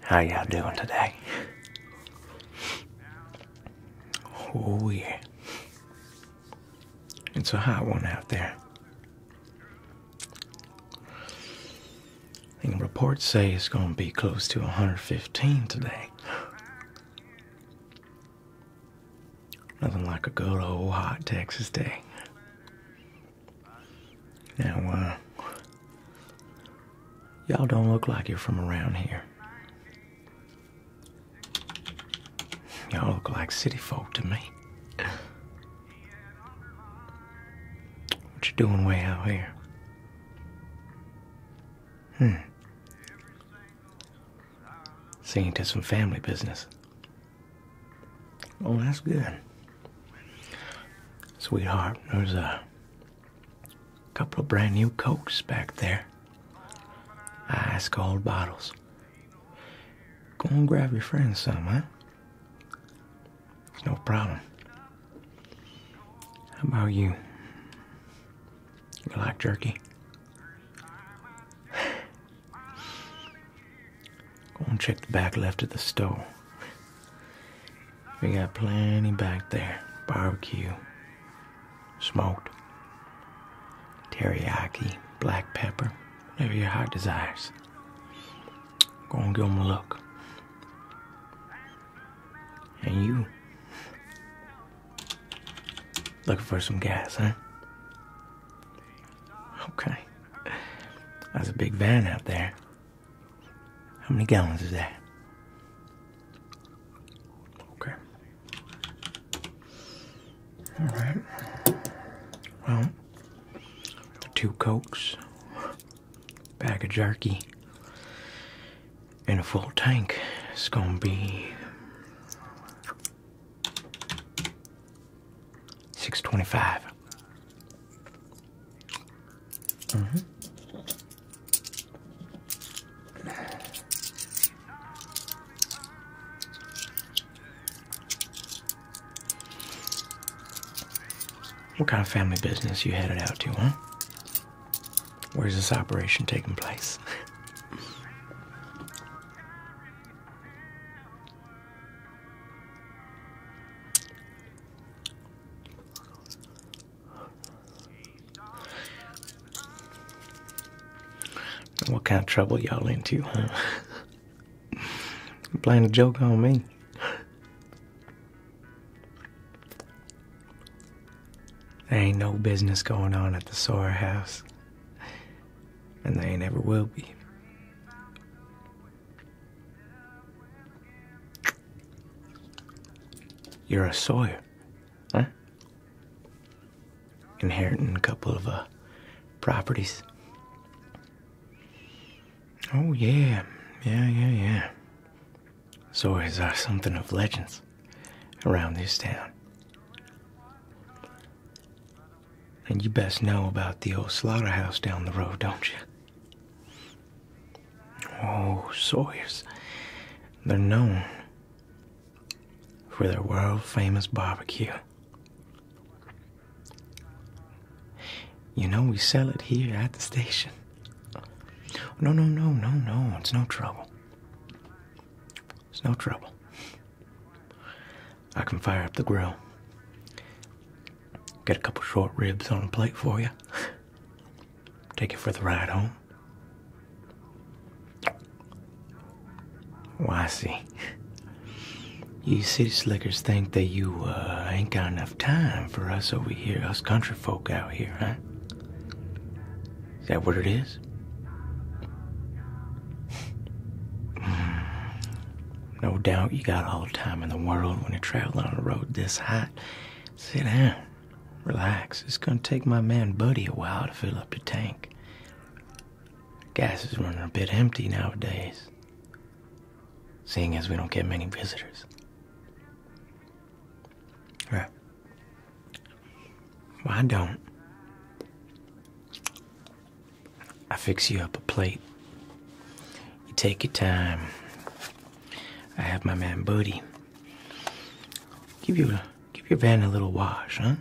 How y'all doing today? Oh yeah. It's a hot one out there. And reports say it's gonna be close to 115 today. Nothing like a good old hot Texas day. Now, uh, y'all don't look like you're from around here. Y'all look like city folk to me. What you doing way out here? Hmm. Seeing to some family business. Oh, that's good. Sweetheart, there's a couple of brand new Cokes back there. Ice cold bottles. Go and grab your friends some, huh? no problem. How about you? You like jerky? Go and check the back left of the stove. We got plenty back there. Barbecue, smoked, teriyaki, black pepper, whatever your heart desires. Go and give 'em a look. And you, Looking for some gas, huh? Okay. That's a big van out there. How many gallons is that? Okay. All right. Well, two cokes, bag of jerky, in a full tank it's gonna be 625 mm -hmm. What kind of family business you headed out to, huh? Where's this operation taking place? What kind of trouble y'all into, huh? Playing a joke on me. There ain't no business going on at the Sawyer house. And they ain't ever will be. You're a Sawyer, huh? Inheriting a couple of uh, properties. Oh, yeah. Yeah, yeah, yeah. Sawyers are something of legends around this town. And you best know about the old slaughterhouse down the road, don't you? Oh, Sawyers. They're known for their world famous barbecue. You know, we sell it here at the station. No, no, no, no, no, it's no trouble. It's no trouble. I can fire up the grill. Get a couple short ribs on a plate for you. Take you for the ride home. Well, I see. You city slickers think that you uh, ain't got enough time for us over here, us country folk out here, huh? Is that what it is? Hmm. No doubt you got all the time in the world when you're traveling on a road this hot. Sit down, relax. It's gonna take my man Buddy a while to fill up your tank. Gas is running a bit empty nowadays, seeing as we don't get many visitors. All right. Why don't. I fix you up a plate. You take your time. I have my man Buddy. Give you give your van a little wash, huh?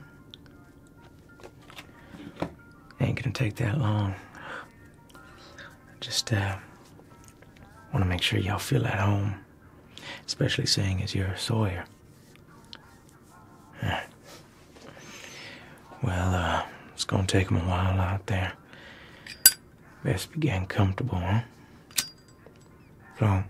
Ain't gonna take that long. Just uh, want to make sure y'all feel at home, especially seeing as you're a Sawyer. Well, uh, it's gonna take them a while out there. Best be getting comfortable, huh? So.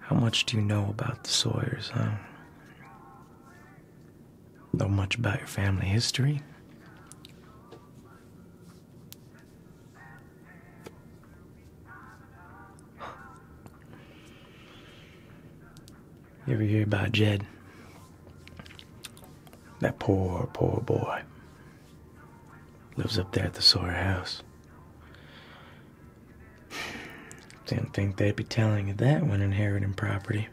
How much do you know about the Sawyers, huh? know much about your family history. You ever hear about Jed? That poor, poor boy. Lives up there at the Sawyer house. Didn't think they'd be telling you that when inheriting property.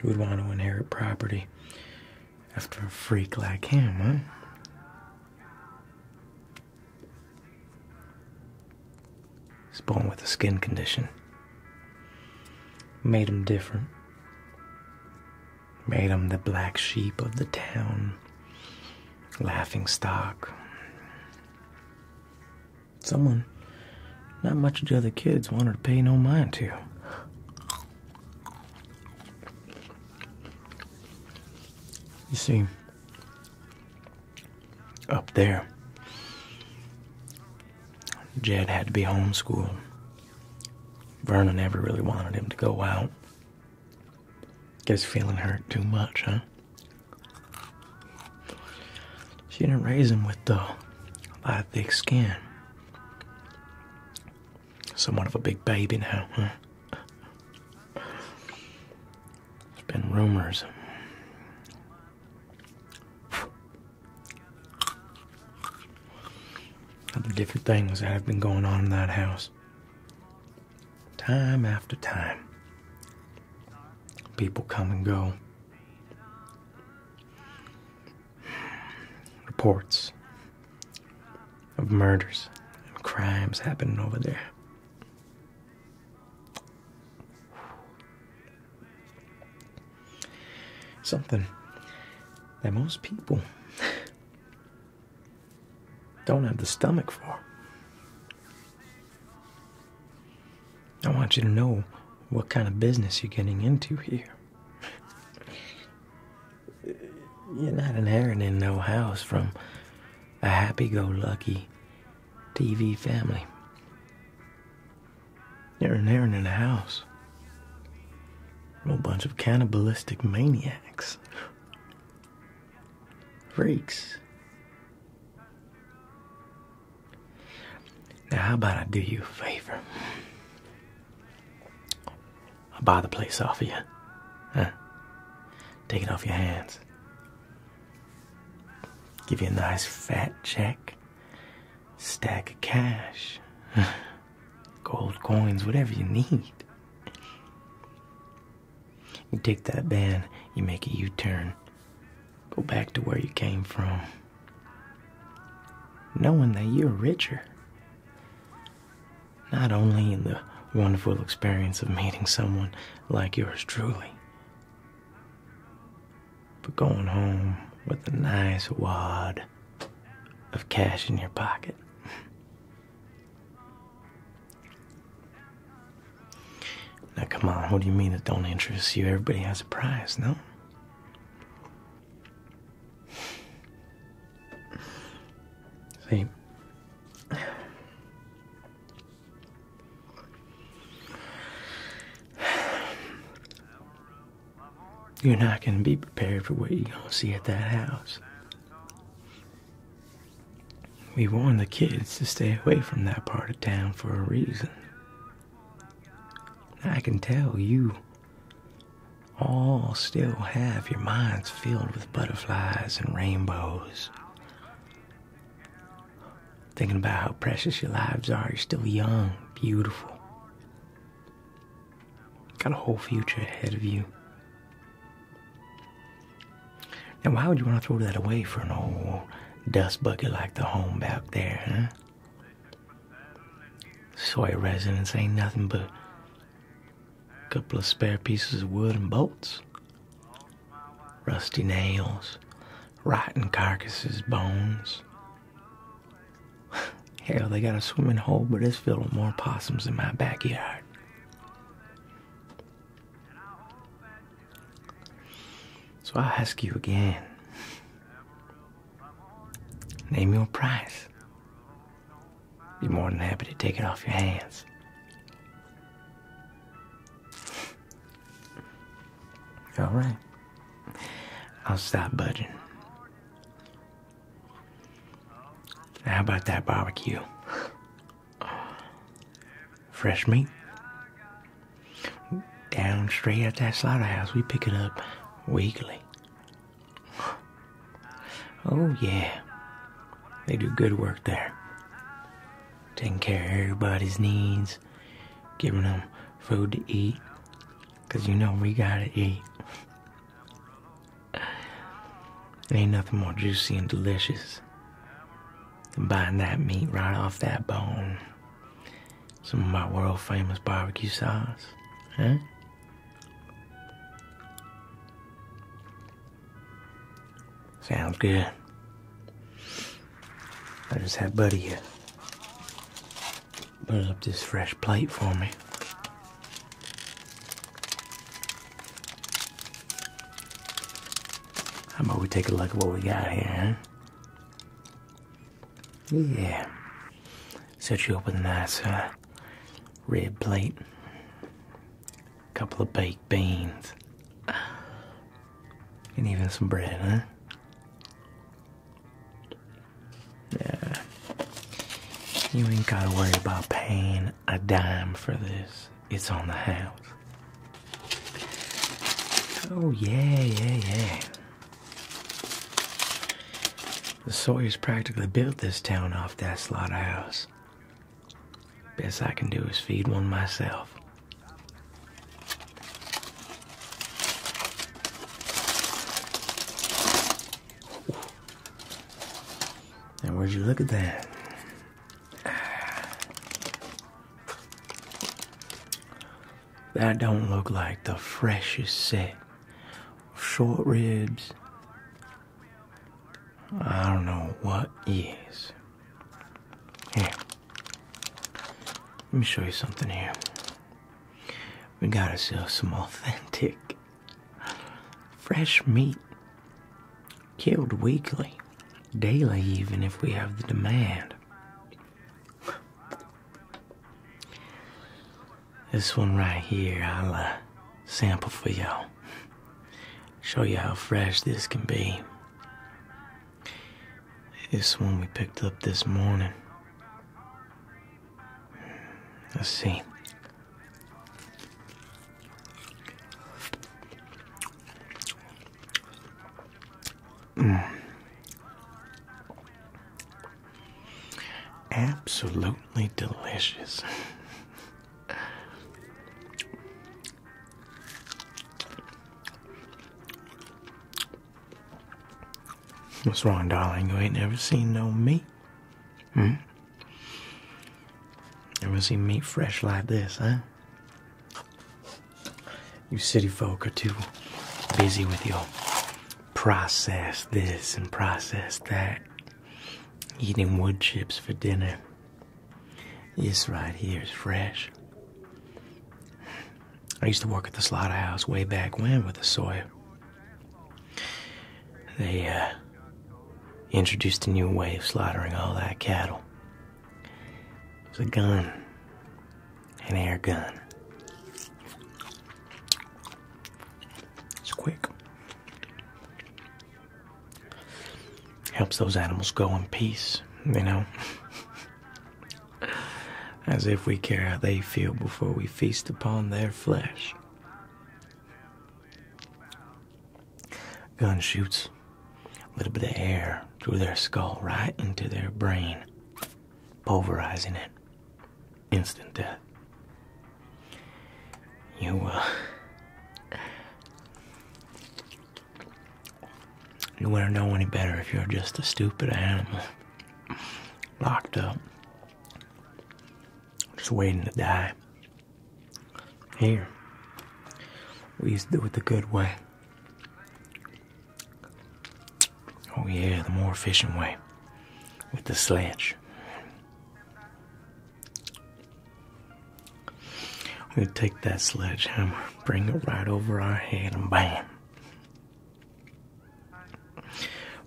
Who would want to inherit property after a freak like him, huh? He's born with a skin condition. Made him different. Made him the black sheep of the town. Laughing stock. Someone not much of the other kids wanted to pay no mind to. You see, up there, Jed had to be homeschooled. Vernon never really wanted him to go out. Guess feeling hurt too much, huh? She didn't raise him with the lot of thick skin. Somewhat of a big baby now, There's been rumors. Other different things that have been going on in that house. Time after time. People come and go. Reports of murders and crimes happening over there. Something that most people don't have the stomach for. I want you to know what kind of business you're getting into here. you're not inheriting no house from a happy go lucky TV family. You're inheriting a house a bunch of cannibalistic maniacs, freaks. Now, how about I do you a favor? i buy the place off of you. Huh? Take it off your hands. Give you a nice fat check, stack of cash, gold coins, whatever you need. You take that band, you make a U turn, Go back to where you came from, knowing that you're richer. Not only in the wonderful experience of meeting someone like yours truly, but going home with a nice wad of cash in your pocket. Now, come on, what do you mean it don't interest you? Everybody has a prize, no? See? You're not going to be prepared for what you're going to see at that house. We warned the kids to stay away from that part of town for a reason. I can tell you all still have your minds filled with butterflies and rainbows. Thinking about how precious your lives are, you're still young, beautiful. Got a whole future ahead of you. Now, why would you want to throw that away for an old Dust bucket like the home back there, huh? Soy residence ain't nothing but a couple of spare pieces of wood and bolts, rusty nails, rotten carcasses, bones. Hell, they got a swimming hole, but it's filled with more possums than my backyard. So I ask you again name your price. Be more than happy to take it off your hands. All right. I'll stop budging. How about that barbecue? fresh meat. Down straight at that slaughterhouse, we pick it up weekly. Oh yeah, they do good work there. Taking care of everybody's needs, giving them food to eat, 'cause you know we gotta eat. Ain't nothing more juicy and delicious than biting that meat right off that bone some of my world famous barbecue sauce. Huh? Sounds good. I just had Buddy here. Uh, Put up this fresh plate for me. How about we take a look at what we got here, huh? Yeah. Set you up with a uh, red plate, a couple of baked beans, and even some bread, huh? Yeah. You ain't gotta worry about paying a dime for this. It's on the house. Oh yeah, yeah, yeah. The Sawyers practically built this town off that slaughterhouse. Best I can do is feed one myself. And would you look at that? That don't look like the freshest set of short ribs. I don't know what is. Here, let me show you something here. We got ourselves some authentic fresh meat killed weekly, daily, even if we have the demand. This one right here, I'll uh, sample for y'all. Show you how fresh this can be. This one we picked up this morning. Let's see. Absolutely delicious. What's wrong, darling? You ain't never seen no meat? Hmm? Never seen meat fresh like this, huh? You city folk are too busy with your process this and process that. Eating wood chips for dinner. This right here is fresh. I used to work at the slaughterhouse way back when with a sawyer. They uh, introduced a new way of slaughtering all that cattle. It's a gun an air gun. It's quick. Helps those animals go in peace, you know. As if we care how they feel before we feast upon their flesh. Gun shoots a little bit of air through their skull right into their brain pulverizing it. Instant death. You, uh. You wouldn't know any better if you're just a stupid animal. Locked up. Just waiting to die. Here. We used to do it the good way. Oh, yeah, the more efficient way with the sledge. We take that sledgehammer, bring it right over our head, and bam.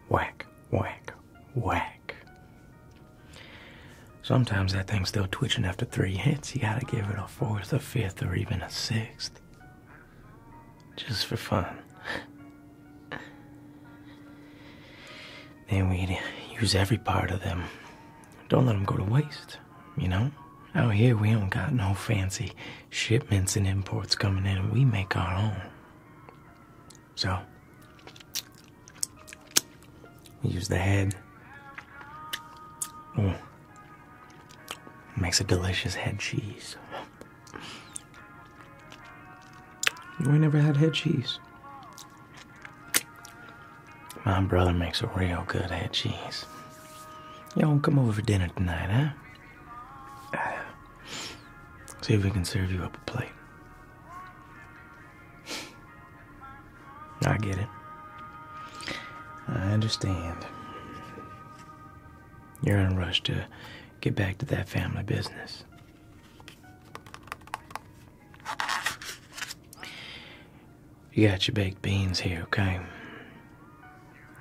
Whack, whack, whack. Sometimes that thing's still twitching after three hits. You gotta give it a fourth, a fifth, or even a sixth just for fun. Then we use every part of them. Don't let them go to waste, you know? Out here, we don't got no fancy shipments and imports coming in. We make our own. So, we use the head. Mm. Makes a delicious head cheese. We never had head cheese. My brother makes a real good head cheese. Y'all come over for dinner tonight, huh? See if we can serve you up a plate. I get it. I understand. You're in a rush to get back to that family business. You got your baked beans here, okay?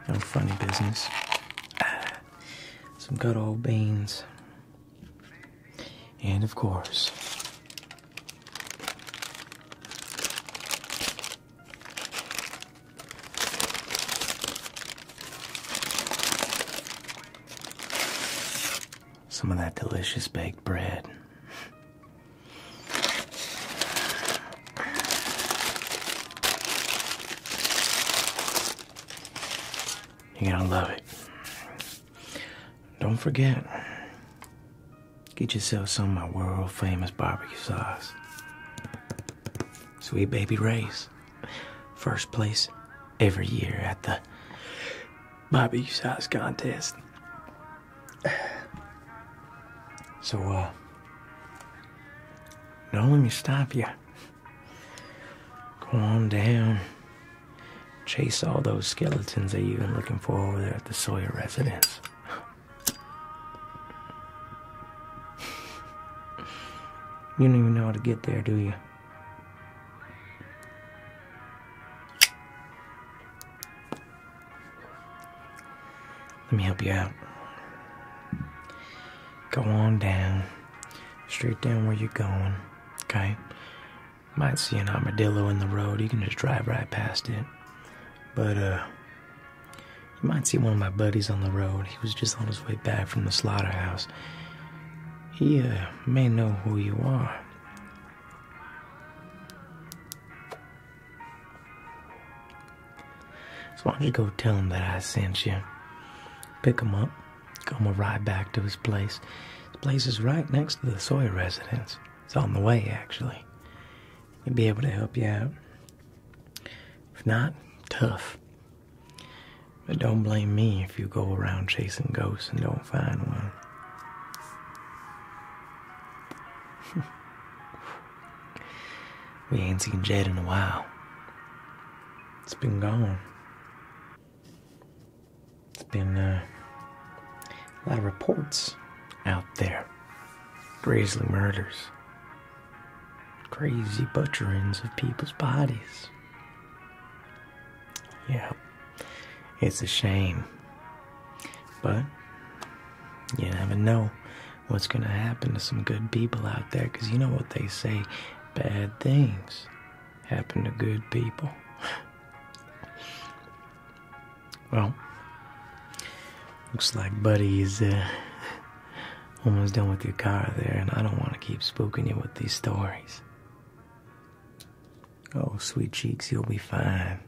No funny business. some good old beans. And of course, some of that delicious baked bread. You're gonna love it. Don't forget, get yourself some of my world famous barbecue sauce. Sweet baby Ray's. First place every year at the Bobby size contest. So, uh, don't let me stop you. Calm down. Chase all those skeletons that you've been looking for over there at the Sawyer residence you don't even know how to get there, do you? Let me help you out. Go on down, straight down where you're going, okay? Might see an armadillo in the road. You can just drive right past it. But, uh, you might see one of my buddies on the road. He was just on his way back from the slaughterhouse. He uh, may know who you are. So why don't you go tell him that I sent you? Pick him up. Go him a ride back to his place. His place is right next to the Sawyer residence. It's on the way, actually. He'll be able to help you out. If not, tough. But don't blame me if you go around chasing ghosts and don't find one. we ain't seen Jed in a while. It's been gone. It's been uh, a lot of reports out there. Grazely murders crazy butcherings of people's bodies. Yeah, it's a shame. But you never know what's going to happen to some good people out there because you know what they say bad things happen to good people. well, looks like Buddy is uh, Almost done with your car there, and I don't want to keep spooking you with these stories. Oh, sweet cheeks, you'll be fine.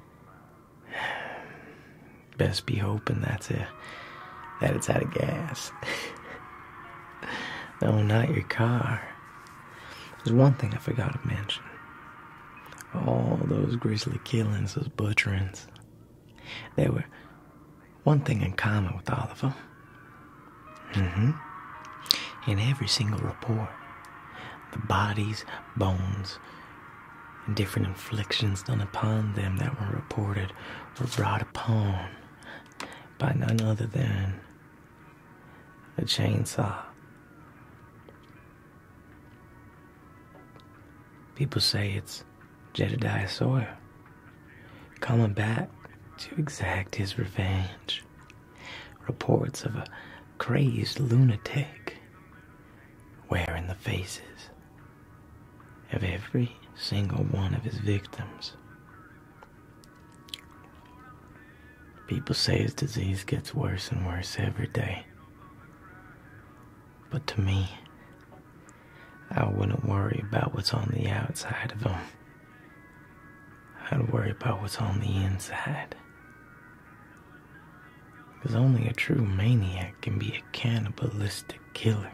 Best be hoping that's it. That it's out of gas. no, not your car. There's one thing I forgot to mention. All those grisly killings, those butcherings. There were one thing in common with all of them. Mm-hmm. In every single report, the bodies, bones, and different inflictions done upon them that were reported were brought upon by none other than a chainsaw. People say it's Jedediah Sawyer coming back to exact his revenge. Reports of a crazed lunatic wearing the faces of every single one of his victims. People say his disease gets worse and worse every day. But to me, I wouldn't worry about what's on the outside of them. I'd worry about what's on the inside. Because only a true maniac can be a cannibalistic killer.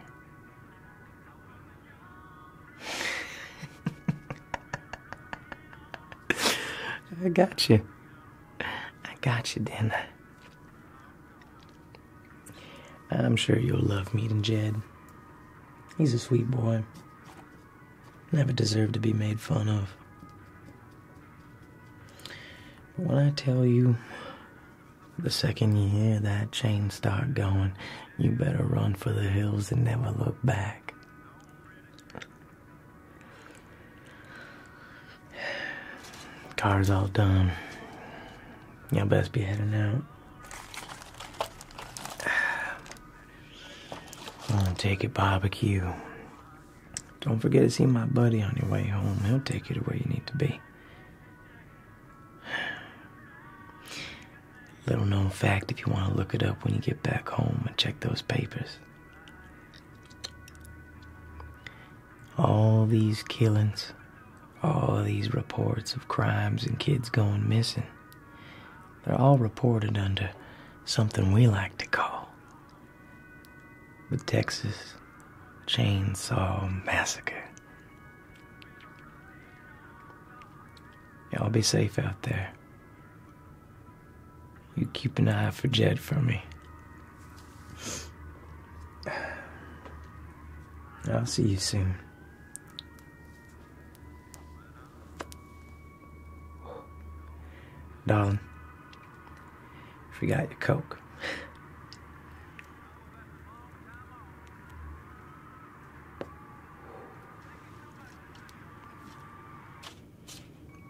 I got you. I got you, Dana. I'm sure you'll love meeting Jed. He's a sweet boy. Never deserved to be made fun of. But when I tell you, the second you hear that chain start going, you better run for the hills and never look back. Car's all done. Y'all best be heading out. I'm gonna take it barbecue. Don't forget to see my buddy on your way home. He'll take you to where you need to be. Little known fact if you want to look it up when you get back home and check those papers. All these killings, all these reports of crimes and kids going missing, they're all reported under something we like to call the Texas Chainsaw Massacre. Y'all be safe out there. You keep an eye for Jed for me. I'll see you soon. Darling, forgot your Coke.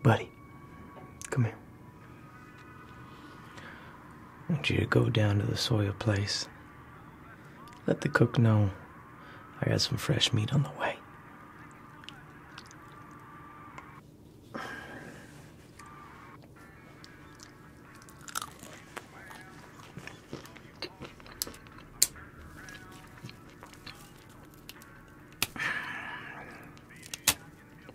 Buddy, come here want you to go down to the soil place. Let the cook know I got some fresh meat on the way.